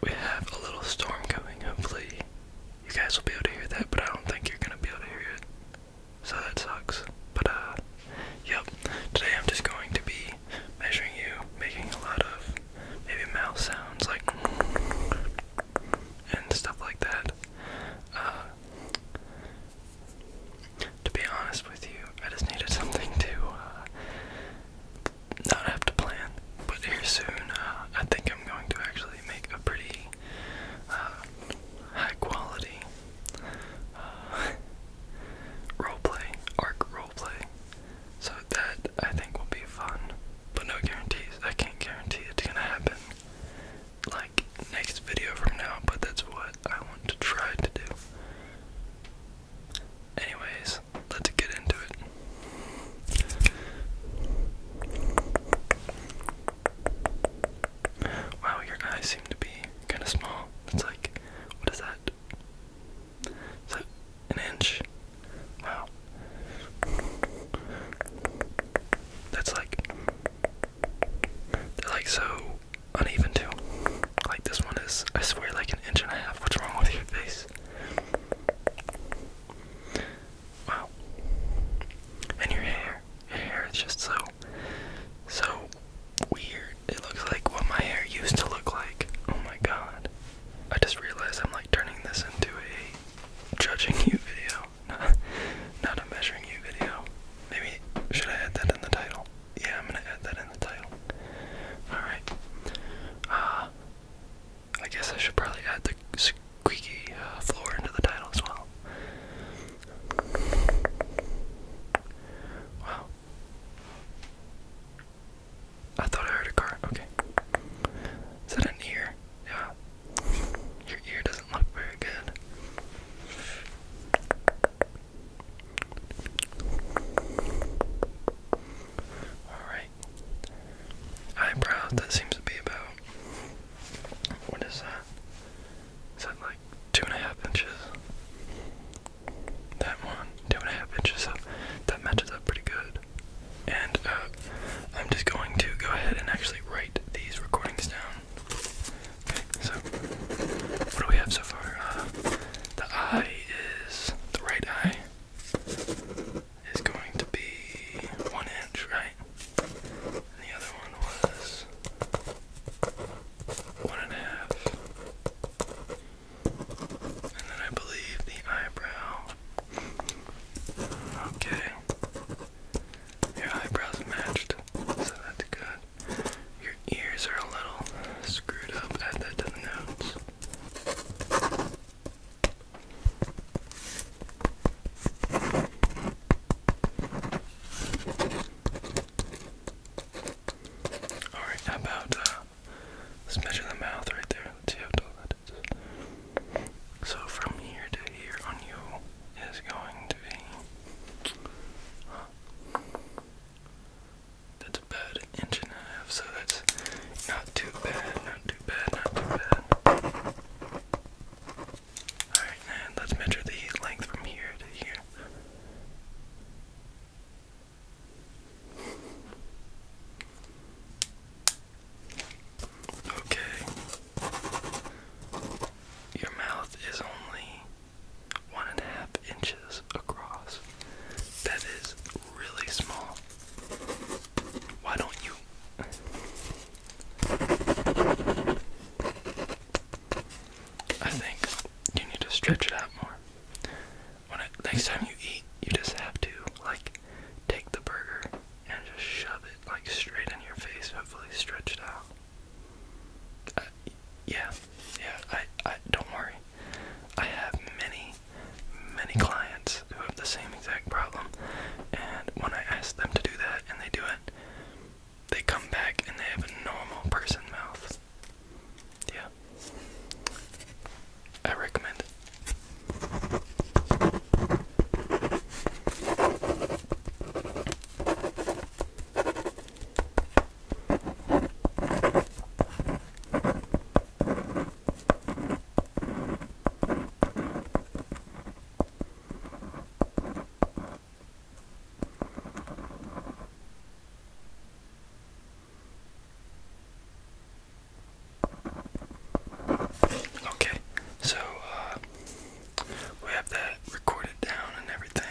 we have a little storm coming. Hopefully, you guys will be able to hear that, but I don't think you're gonna be able to hear it. So that sucks. But uh, yep. Today I'm just going to be measuring you, making a lot of maybe mouth sounds like and stuff like that. Uh, to be honest with you, I just needed something to uh, not have to plan, but here soon, uh, I think I'm going to actually make a pretty uh, high quality uh, roleplay, arc roleplay. So that I think will be fun, but no guarantees. I can't guarantee it's gonna happen like next video from now, but that's what I want to try to do. Anyways, let's get into it. Wow, your eyes seem to be kind of small. It's like, what is that? Is that an inch? Wow. That's like, they're like so uneven too. Like this one is, I swear, like an inch and a half. What's wrong with your face? Wow. And your hair. Your hair is just so so weird. It looks like what my hair used to look like. Oh my god. I just realized I'm like turning this into a judging you video. Not, a measuring you video. Maybe should I add that in the title? Yeah, I'm gonna add that in the title. Alright. Uh I guess I should probably add the squeaky uh, floor into the title as well. Wow. I thought I heard a car. Okay. Is that an ear? Yeah. Your ear doesn't look very good. Alright eyebrows. That seems to be about. What is that? Is that like two and a half inches? That one, two and a half inches. So that matches up pretty good. And uh, I'm just going to go ahead and actually write these recordings down. Okay, so what do we have so far? Uh, the eye is the right eye is going to be one inch, right? the other one was one and a half. And then I believe the eyebrow. Okay. Your eyebrows matched, so that's good. Your ears are a little screwed up at the, to the nose. Alright, about uh, the mouth right there. Let's see how tall that is. So from here to here on you is going to be. that's about good inch and a half, so that's not too bad, not too bad, not too bad. Alright, and let's measure the length from here to here. Okay. Your mouth is only one and a half inches across. That is really small. Why don't you? I think you need to stretch it out more. next time you eat, you just have to like take the burger and just shove it like straight in your face. Hopefully, stretch it out. Uh, yeah, yeah. I, I don't worry. I have many many clients who have the same exact problem. And when I ask them to do that and they do it, they come back and they have a normal person mouth. Yeah. I recommend it. Okay, so uh, we have that recorded down and everything.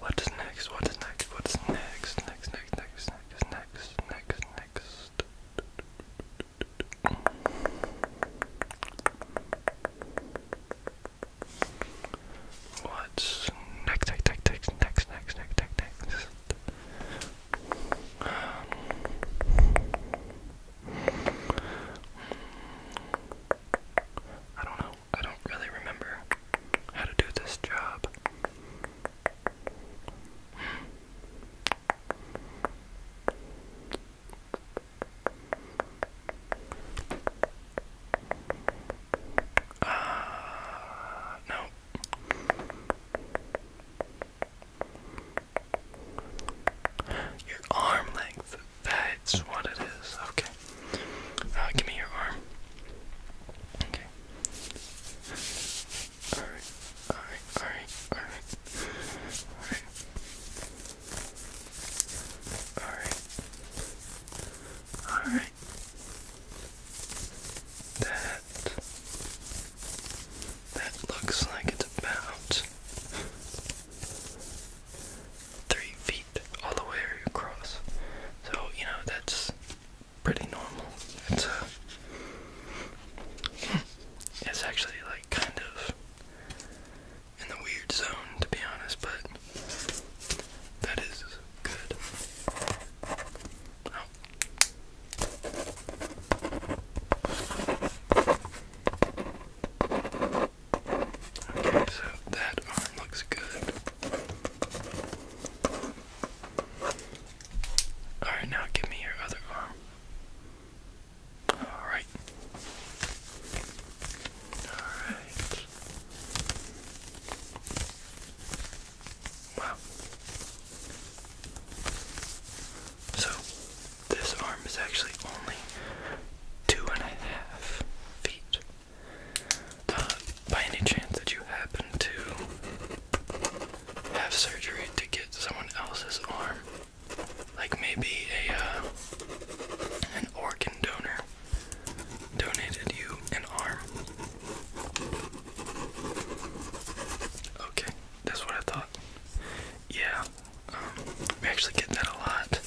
What is next? What is next? What is next? Next, next, next, next, next, next, next. What's next, next, next, next, next, next, next, next, I don't know. I don't really remember how to do this job. Uh, no. Your arm length. That's what it is. Okay. Uh, give me your arm. Okay alright, alright, alright, alright, alright, alright, alright, that, that looks like it's about three feet all the way across, so, you know, that's pretty normal. It's uh, it's actually like kind of in the weird zone to be honest, but that is good. Oh. Okay, so that arm looks good. Alright, now give me your other arm. Alright. Alright. Wow. So, this arm is actually only two and a half feet. Uh, by any chance that you happen to have surgery to get someone else's arm, like maybe a uh, an organ donor donated you an arm. Okay, that's what I thought. Yeah, um, we actually get that a lot.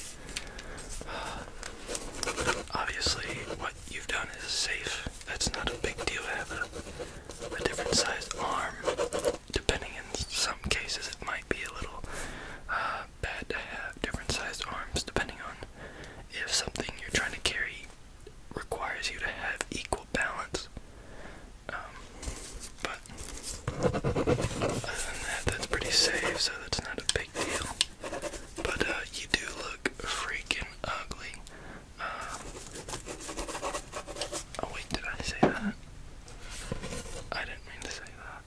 obviously, what you've done is safe. That's not a big deal either a different size arm. Depending in some cases, it might be a little uh, bad to have different sized arms, depending on if something you're trying to carry requires you to have equal balance. Um, but other than that, that's pretty safe, so that's not a big deal. But uh, you do look freaking ugly oh wait, did I say that? I didn't mean to say that.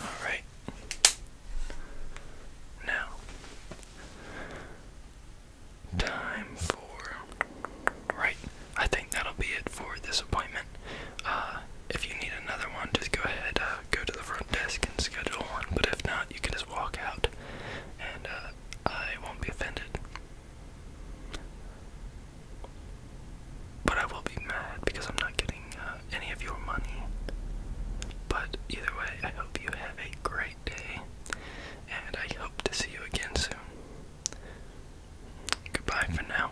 Alright. Now, time for. Right, I think that'll be it for this appointment. Uh, if you need another one, just go ahead, uh, go to the front desk and schedule one. But if not, you can just walk out and uh, I won't be offended. But I will be mad because I'm not getting uh, any of your money. But either way, I hope you have a great day, and I hope to see you again soon. Goodbye for now.